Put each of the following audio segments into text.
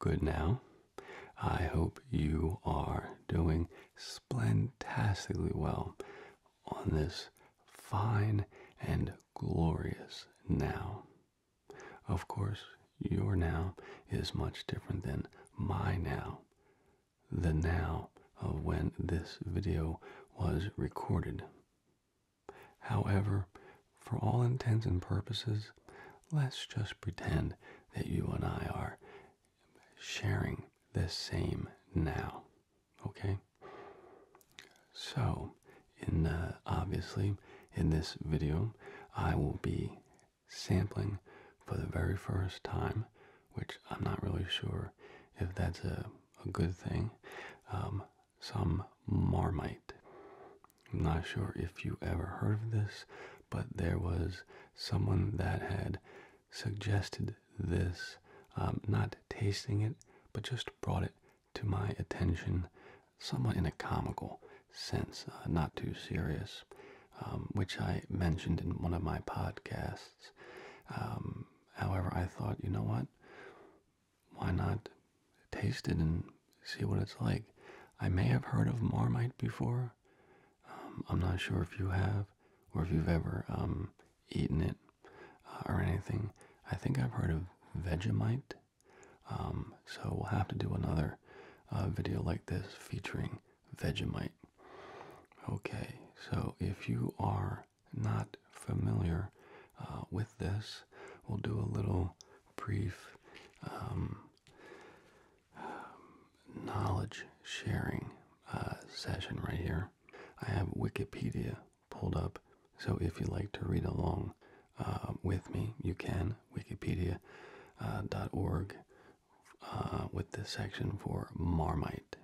Good now. I hope you are doing splantastically well on this fine and glorious now. Of course, your now is much different than my now. The now of when this video was recorded. However, for all intents and purposes, let's just pretend that you and I are sharing the same now. Okay? So, in uh, obviously, in this video, I will be sampling for the very first time, which I'm not really sure if that's a, good thing, um, some marmite. I'm not sure if you ever heard of this, but there was someone that had suggested this, um, not tasting it, but just brought it to my attention somewhat in a comical sense, uh, not too serious, um, which I mentioned in one of my podcasts. Um, however, I thought, you know what? Why not taste it and see what it's like. I may have heard of Marmite before. Um, I'm not sure if you have or if you've ever um, eaten it uh, or anything. I think I've heard of Vegemite. Um, so we'll have to do another uh, video like this featuring Vegemite. Okay, so if you are not familiar uh, with this, we'll do a little brief um, knowledge sharing uh, session right here. I have Wikipedia pulled up, so if you'd like to read along uh, with me, you can. Wikipedia.org uh, uh, with the section for Marmite.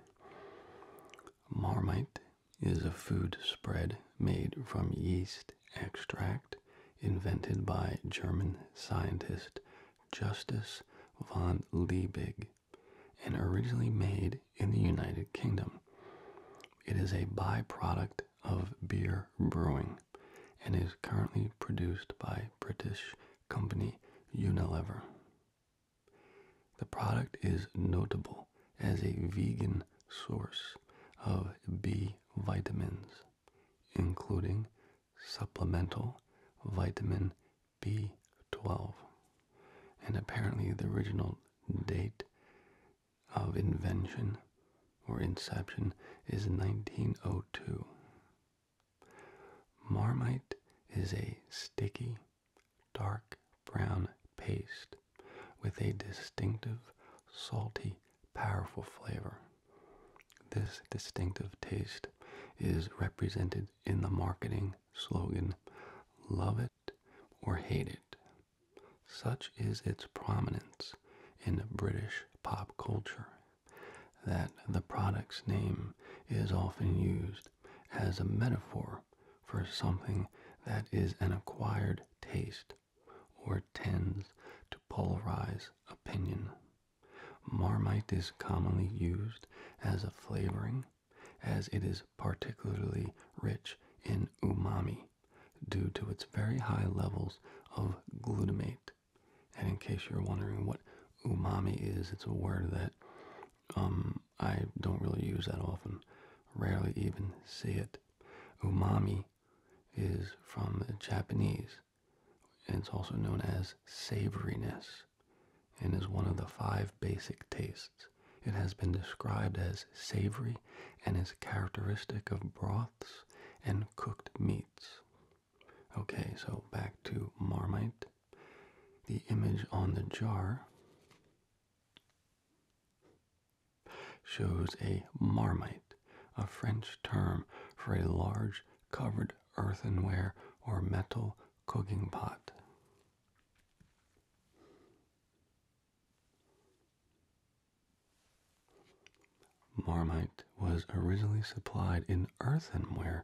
Marmite is a food spread made from yeast extract invented by German scientist Justus von Liebig and originally made in the United Kingdom. It is a byproduct of beer brewing and is currently produced by British company Unilever. The product is notable as a vegan source of B vitamins including supplemental vitamin B12. And apparently, the original date of invention or inception is 1902. Marmite is a sticky, dark brown paste with a distinctive, salty, powerful flavor. This distinctive taste is represented in the marketing slogan, Love It or Hate It. Such is its prominence in British pop culture that the product's name is often used as a metaphor for something that is an acquired taste or tends to polarize opinion. Marmite is commonly used as a flavoring as it is particularly rich in umami due to its very high levels of glutamate. And in case you're wondering what umami is, it's a word that um, I don't really use that often, rarely even say it. Umami is from Japanese, and it's also known as savouriness, and is one of the five basic tastes. It has been described as savory and is characteristic of broths and cooked meats. Okay, so back to Marmite. The image on the jar shows a marmite, a French term for a large covered earthenware or metal cooking pot. Marmite was originally supplied in earthenware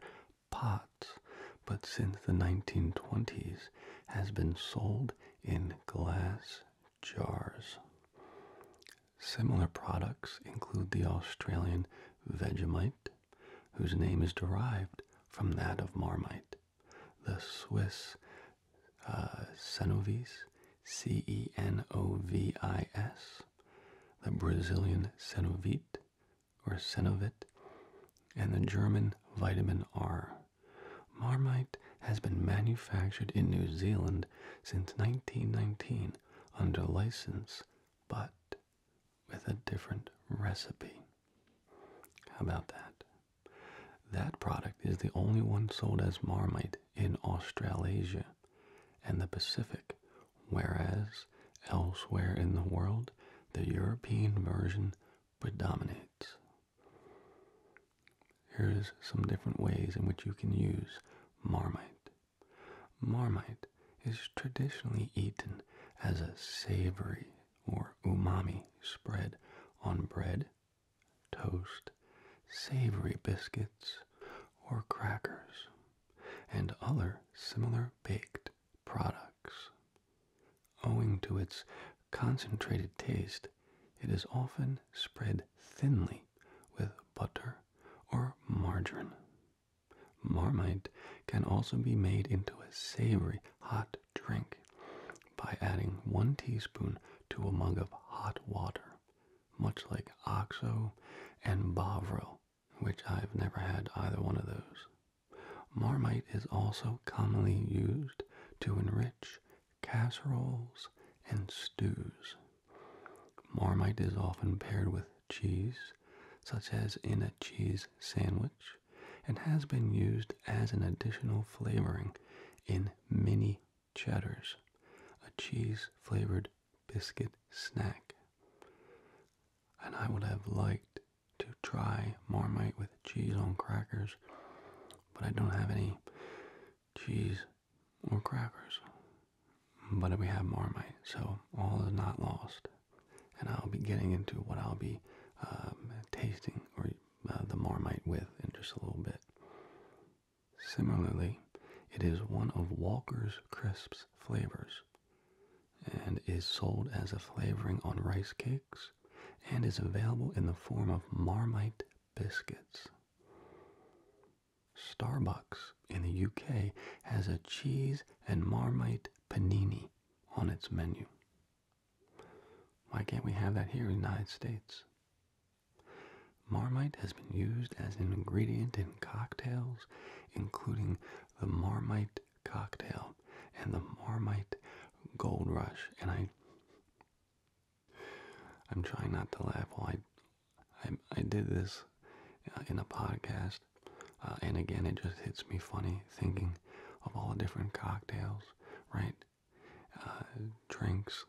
pots, but since the 1920s has been sold in glass jars. Similar products include the Australian Vegemite, whose name is derived from that of Marmite, the Swiss uh, Cenovis, the Brazilian Senovit, or Senovit, and the German vitamin R. Marmite has been manufactured in New Zealand since 1919 under license but with a different recipe. How about that? That product is the only one sold as Marmite in Australasia and the Pacific, whereas elsewhere in the world the European version predominates. Here's some different ways in which you can use Marmite. Marmite is traditionally eaten as a savory or umami spread on bread, toast, savory biscuits, or crackers, and other similar baked products. Owing to its concentrated taste, it is often spread thinly with butter or margarine. Marmite can also be made into a savory hot drink by adding one teaspoon to a mug of hot water, much like OXO and Bovril, which I've never had either one of those. Marmite is also commonly used to enrich casseroles and stews. Marmite is often paired with cheese, such as in a cheese sandwich, and has been used as an additional flavoring in mini cheddars, a cheese flavored biscuit snack. And I would have liked to try Marmite with cheese on crackers, but I don't have any cheese, or crackers. But we have Marmite, so all is not lost. And I'll be getting into what I'll be um, tasting or uh, the Marmite with in just a little bit. Similarly, it is one of Walker's Crisps flavors and is sold as a flavoring on rice cakes and is available in the form of Marmite biscuits. Starbucks in the UK has a cheese and marmite panini on its menu. Why can't we have that here in the United States? Marmite has been used as an ingredient in cocktails, including the Marmite cocktail and the Marmite Gold Rush. And I, I'm trying not to laugh while I I, I did this uh, in a podcast, uh, and again, it just hits me funny thinking of all the different cocktails, right? Uh, drinks,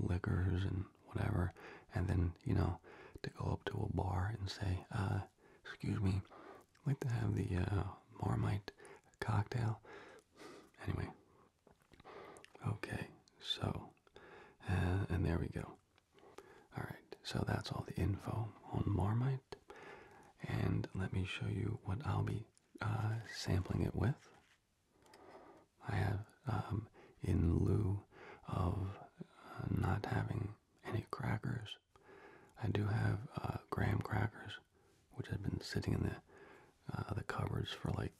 liquors, and whatever. And then, you know, to go up to a bar and say, excuse me, I'd like to have the Marmite cocktail. Anyway. Okay, so, and there we go. Alright, so that's all the info on Marmite. And let me show you what I'll be uh, sampling it with. I have, um, in lieu of uh, not having any crackers, I do have uh, graham crackers, which have been sitting in the the cupboards for like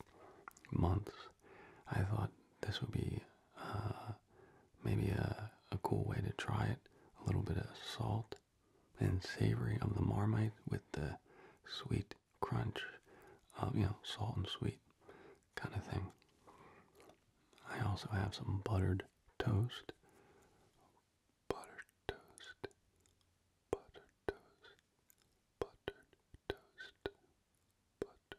months. I thought this would be uh, maybe a, a cool way to try it. A little bit of salt and savory of the marmite with the sweet crunch, of, you know, salt and sweet kind of thing. I also have some buttered toast. Buttered toast. Buttered toast. Buttered toast. Buttered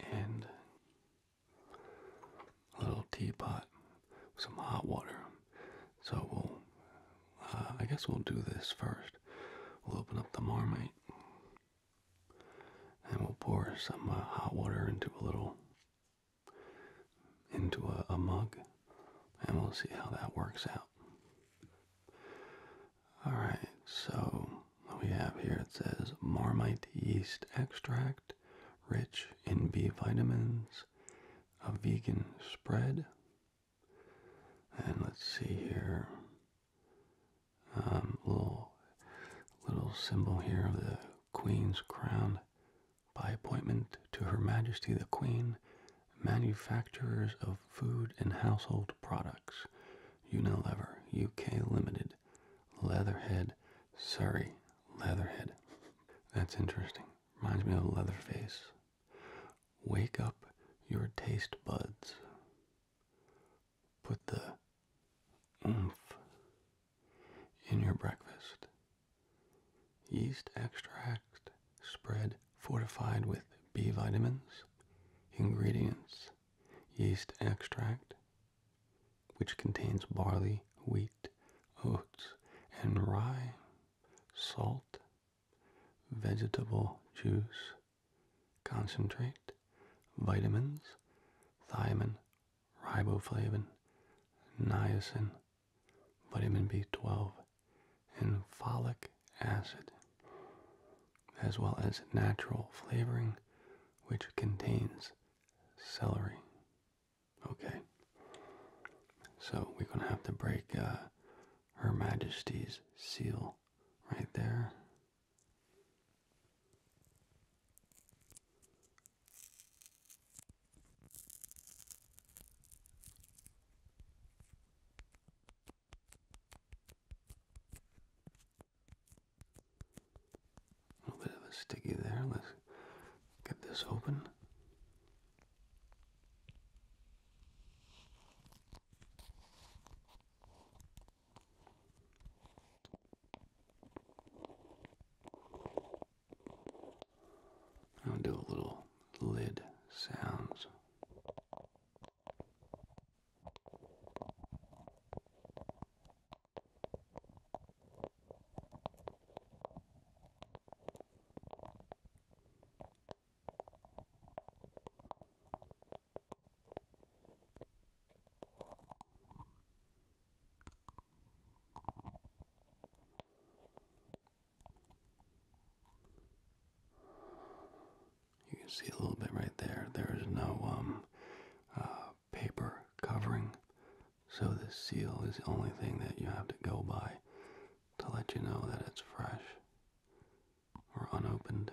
And a little teapot with some hot water. So we'll, uh, I guess we'll do this first. We'll open up the marmite. And we'll pour some uh, hot water into a little into a, mug, and we'll see how that works out. Alright, so we have here it says Marmite yeast extract, rich in B vitamins, a vegan spread. And let's see here. Um, little little symbol here of the Queen's crown by appointment to Her Majesty the Queen, manufacturers of food and household products, Unilever, UK Limited, Leatherhead, Surrey, Leatherhead. That's interesting. Reminds me of Leatherface. Wake up your taste buds. Put the oomph in your breakfast. Yeast extract spread fortified with B vitamins. Ingredients yeast extract, which contains barley, wheat, oats, and rye, salt, vegetable juice, concentrate, vitamins, thiamin riboflavin, niacin, vitamin B12, and folic acid, as well as natural flavoring, which contains celery. Okay, so we're going to have to break uh, Her Majesty's seal right there. A little bit of a sticky there. Let's get this open. I'll do a little lid sounds. You can see a little bit right there. There is no um, uh, paper covering, so this seal is the only thing that you have to go by to let you know that it's fresh or unopened.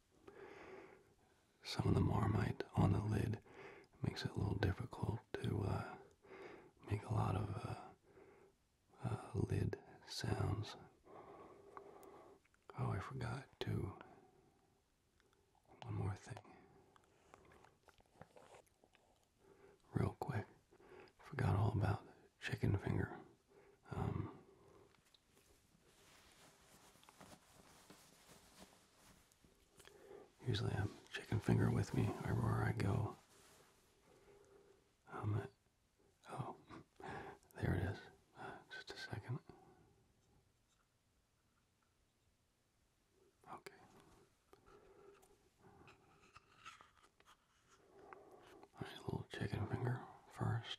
some of the marmite on the lid makes it a little difficult to uh, make a lot of uh, uh, lid sounds. Oh, I forgot to. One more thing. Real quick, forgot all about chicken finger. Um, Usually I am chicken finger with me everywhere I go. Um, oh, there it is. Uh, just a second. Okay. little chicken finger first.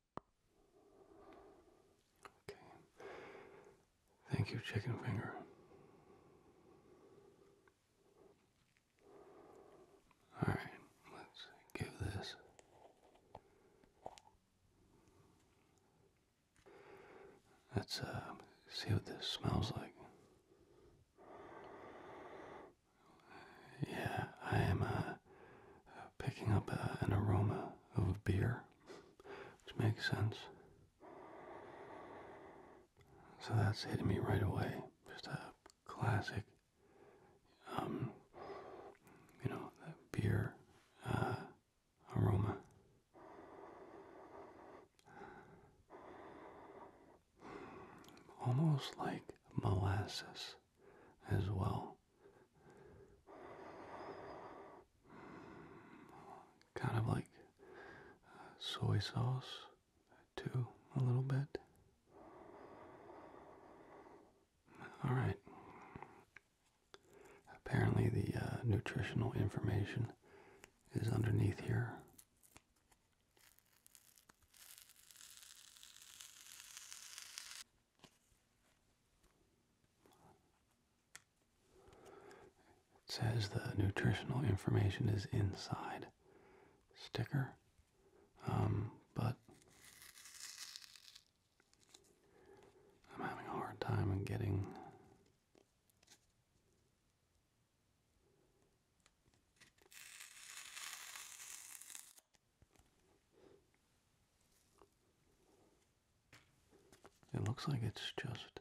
Okay. Thank you, chicken finger. All right, let's give this Let's uh see what this smells like. Yeah, I am uh picking up uh, an aroma of beer, which makes sense. So that's hitting me right away. Just a classic, um, you know, beer uh, aroma. Almost like molasses as well. Kind of like soy sauce, too, a little bit. All right. Apparently, the uh, nutritional information is underneath here. It says the nutritional information is inside sticker, um, but I'm having a hard time in getting. It looks like it's just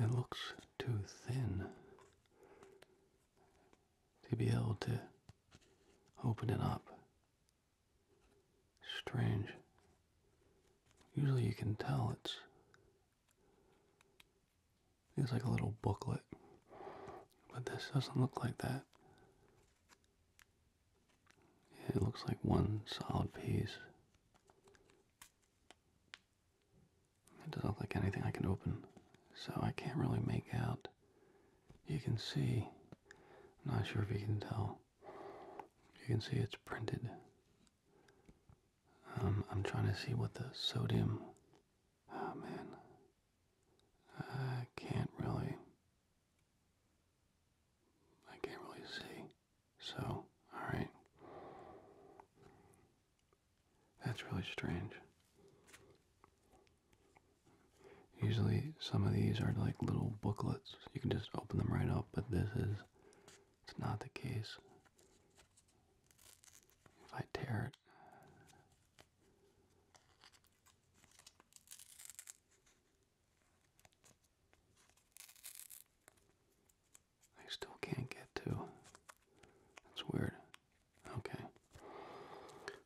It looks too thin to be able to open it up. Strange. Usually you can tell it's it's like a little booklet. But this doesn't look like that. It looks like one solid piece. It doesn't look like anything I can open, so I can't really make out. You can see, I'm not sure if you can tell, you can see it's printed. Um, I'm trying to see what the sodium, oh man, I can't really. I can't really see. So, alright. That's really strange. Usually, some of these are like little booklets. You can just open them right up, but this is. It's not the case. If I tear it, I still can't get to. That's weird. Okay.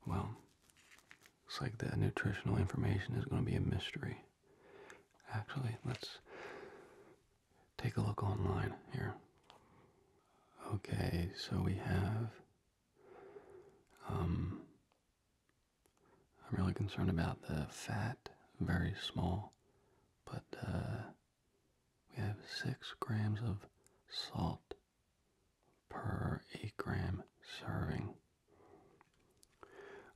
Well, it's like the nutritional information is going to be a mystery. Actually, let's take a look online here. Okay, so we have um, I'm really concerned about the fat, very small, but uh, we have six grams of salt per eight gram serving.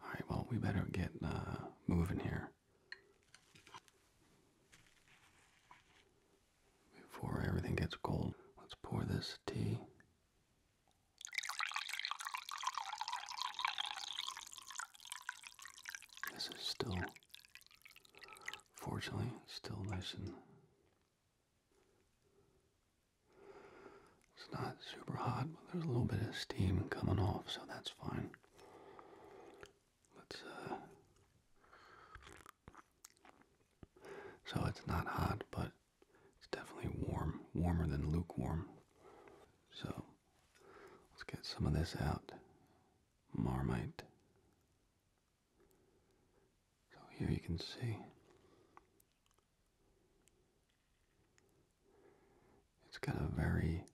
All right, well, we better get uh, moving here before everything gets cold. Let's pour this tea. This is still, fortunately, still nice and. It's not super hot, but there's a little bit of steam coming off, so that's fine. Let's uh, so it's not hot, but it's definitely warm, warmer than lukewarm. So let's get some of this out. Marmite. So here you can see it's got a very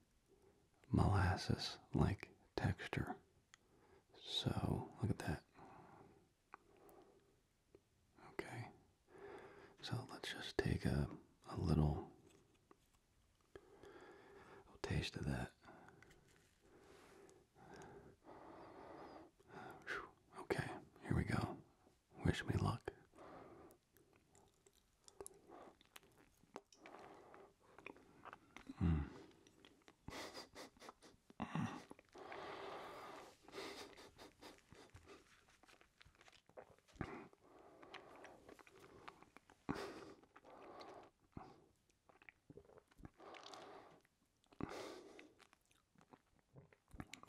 molasses like texture. So look at that. Okay, so let's just take a, little, taste of that. Okay, here we go. Wish me luck. Hmm.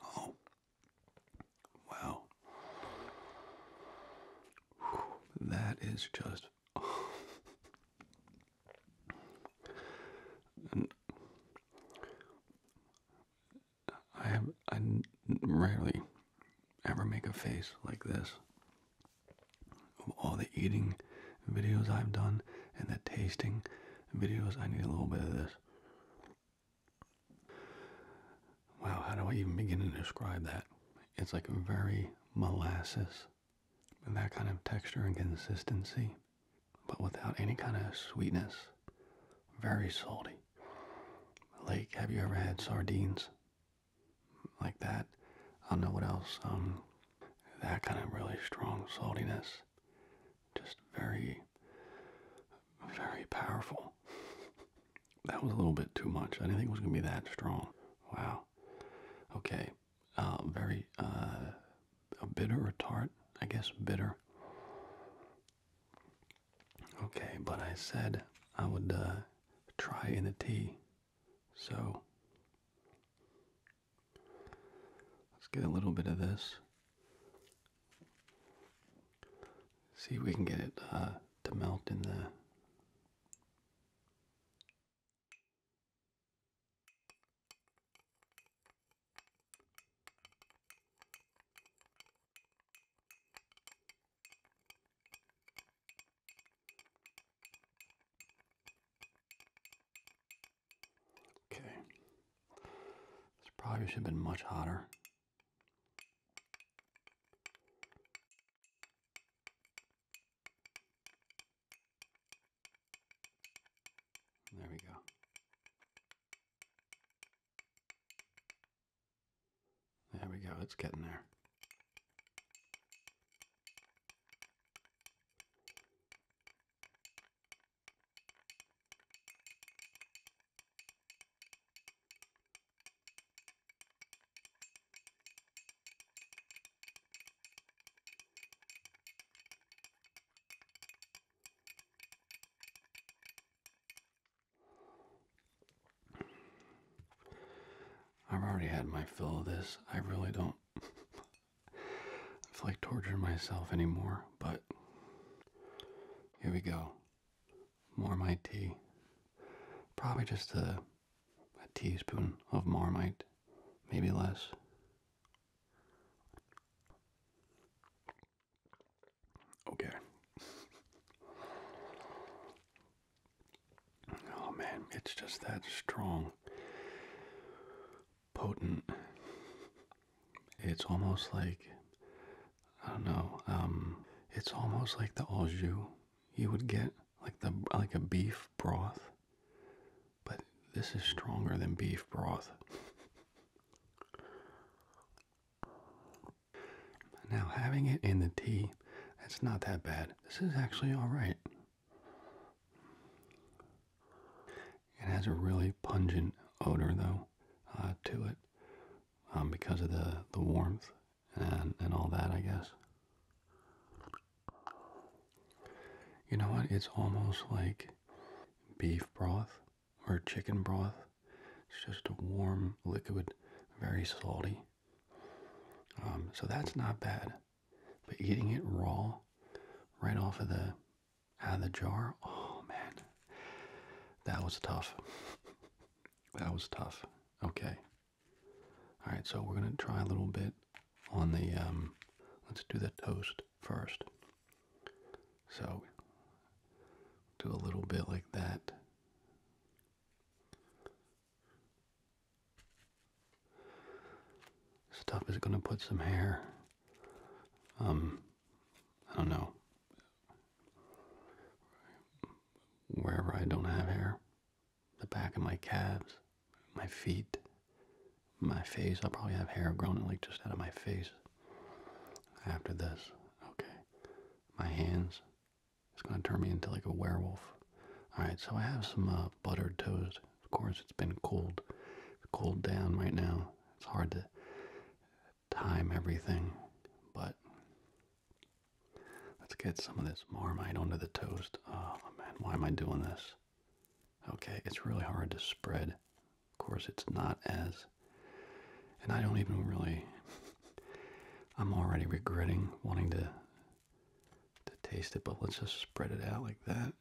Oh, wow, that is just. I have I rarely ever make a face like this. Of all the eating videos I've done and the tasting videos, I need a little bit of this. Wow, how do I even begin to describe that? It's like very molasses that kind of texture and consistency, but without any kind of sweetness. Very salty. Like, have you ever had sardines like that? I don't know what else. Um, that kind of really strong saltiness. Just very, very powerful. that was a little bit too much. I didn't think it was going to be that strong. Wow. Okay uh, very uh, bitter or tart, I guess bitter. Okay, but I said I would uh, try in the tea, so let's get a little bit of this. See if we can get it uh, to melt in the Okay. This probably should have been much hotter. There we go. There we go, it's getting there. I've already had my fill of this. I really don't feel like torturing myself anymore, but here we go. Marmite tea. Probably just a teaspoon of Marmite, maybe less. Okay. oh man, it's just that strong, potent. It's almost like I don't know. Um, it's almost like the au jus you would get, like the like a beef broth but this is stronger than beef broth. now, having it in the tea, that's not that bad. This is actually alright. It has a really pungent odor, though, uh, to it um, because of the, the warmth and, and all that, I guess. You know what? It's almost like beef broth or chicken broth. It's just a warm liquid, very salty. Um, so that's not bad. But eating it raw, right off of the out of the jar, oh man, that was tough. that was tough. Okay. All right, so we're gonna try a little bit on the. Um, let's do the toast first. So do a little bit like that. Stuff is going to put some hair. Um, I don't know. Wherever I don't have hair, the back of my calves, my feet, my face. I'll probably have hair growing like just out of my face after this. Okay. My hands. It's gonna turn me into like a werewolf. Alright, so I have some uh, buttered toast. Of course, it's been cold. It's cooled down right now. It's hard to time everything, but let's get some of this marmite onto the toast. Oh man, why am I doing this? Okay, it's really hard to spread. Of course, it's not as. And I don't even really. I'm already regretting wanting to to taste it, but let's just spread it out like that.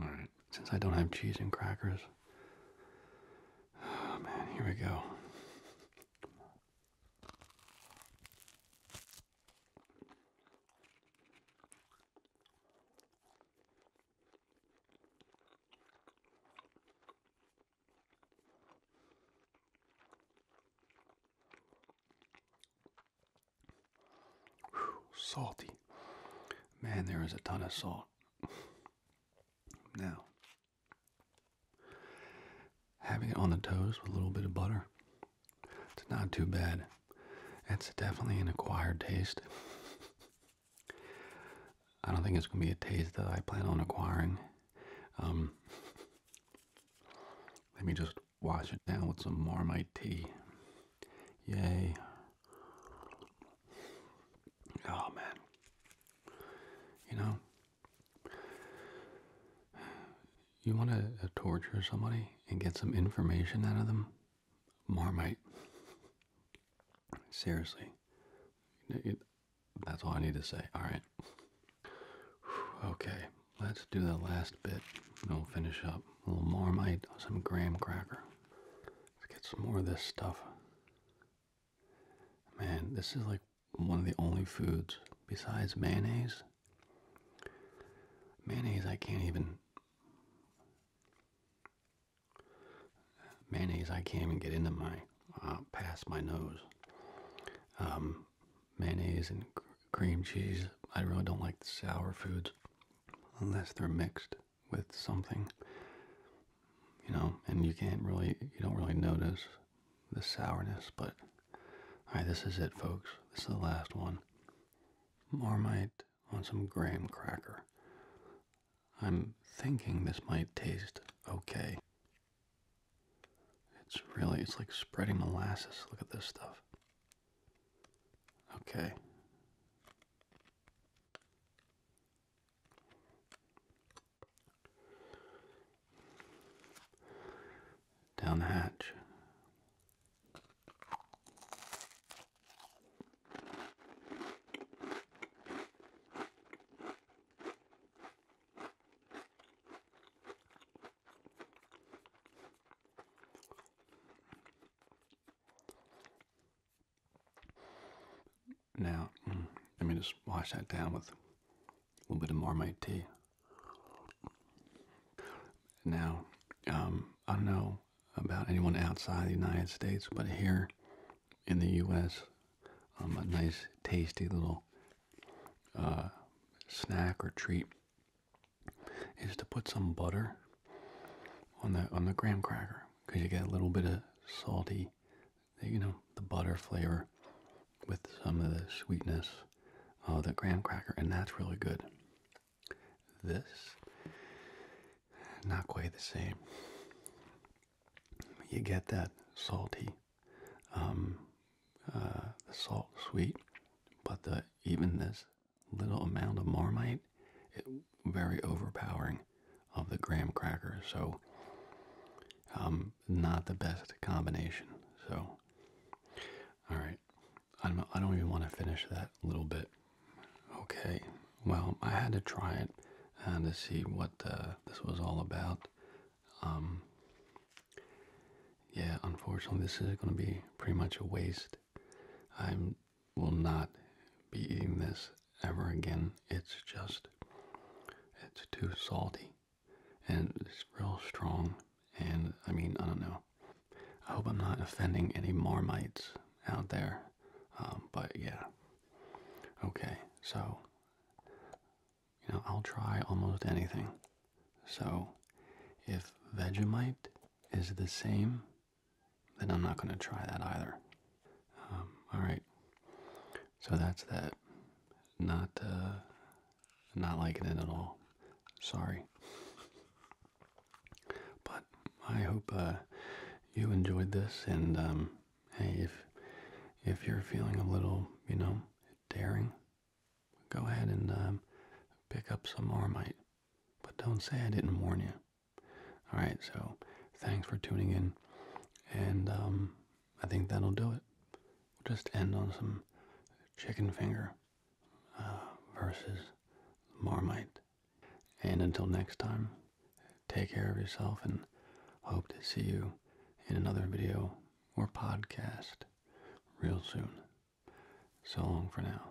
All right. Since I don't have cheese and crackers. Oh man, here we go salty. Man, there is a ton of salt. now, having it on the toast with a little bit of butter, it's not too bad. It's definitely an acquired taste. I don't think it's going to be a taste that I plan on acquiring. Um, let me just wash it down with some Marmite tea. Yay. Oh, man. You know, you want to torture somebody and get some information out of them? Marmite. Seriously. that's all I need to say. All right. Okay, let's do the last bit and we'll finish up. A little Marmite, some graham cracker. Let's get some more of this stuff. Man, this is like one of the only foods besides mayonnaise. Mayonnaise, I can't even. Mayonnaise, I can't even get into my uh, past my nose. Um, mayonnaise and cream cheese. I really don't like sour foods unless they're mixed with something. You know, and you can't really, you don't really notice the sourness. But all right, this is it, folks. This is the last one. Marmite on some graham cracker. I'm thinking this might taste okay. It's really, it's like spreading molasses. Look at this stuff. Okay. Down the hatch. Now, let me just wash that down with a little bit of Marmite tea. Now, um, I don't know about anyone outside the United States, but here in the U.S., um, a nice, tasty little uh, snack or treat is to put some butter on the on the graham cracker because you get a little bit of salty, you know, the butter flavor with some of the sweetness of the graham cracker, and that's really good. This, not quite the same. You get that salty, um, uh, the salt sweet, but the even this little amount of marmite, it very overpowering of the graham crackers. So, um, not the best combination. So, all right, I'm, I don't even want to finish that little bit. Okay, well, I had to try it and to see what uh, this was all about. Um, yeah, unfortunately, this is going to be pretty much a waste. I will not be eating this ever again. It's just, it's too salty and it's real strong. And I mean, I don't know. I hope I'm not offending any Marmites out there. Um, but yeah. Okay, so, you know, I'll try almost anything. So, if Vegemite is the same, then I'm not going to try that either. Um, alright, so that's that. Not, uh, not liking it at all. Sorry. But I hope uh, you enjoyed this, and um, hey, if if you're feeling a little, you know, daring, go ahead and um, pick up some Marmite. But don't say I didn't warn you. All right, so thanks for tuning in, and um, I think that'll do it. We'll just end on some chicken finger uh, versus Marmite. And until next time, take care of yourself and hope to see you in another video or podcast real soon. So long for now.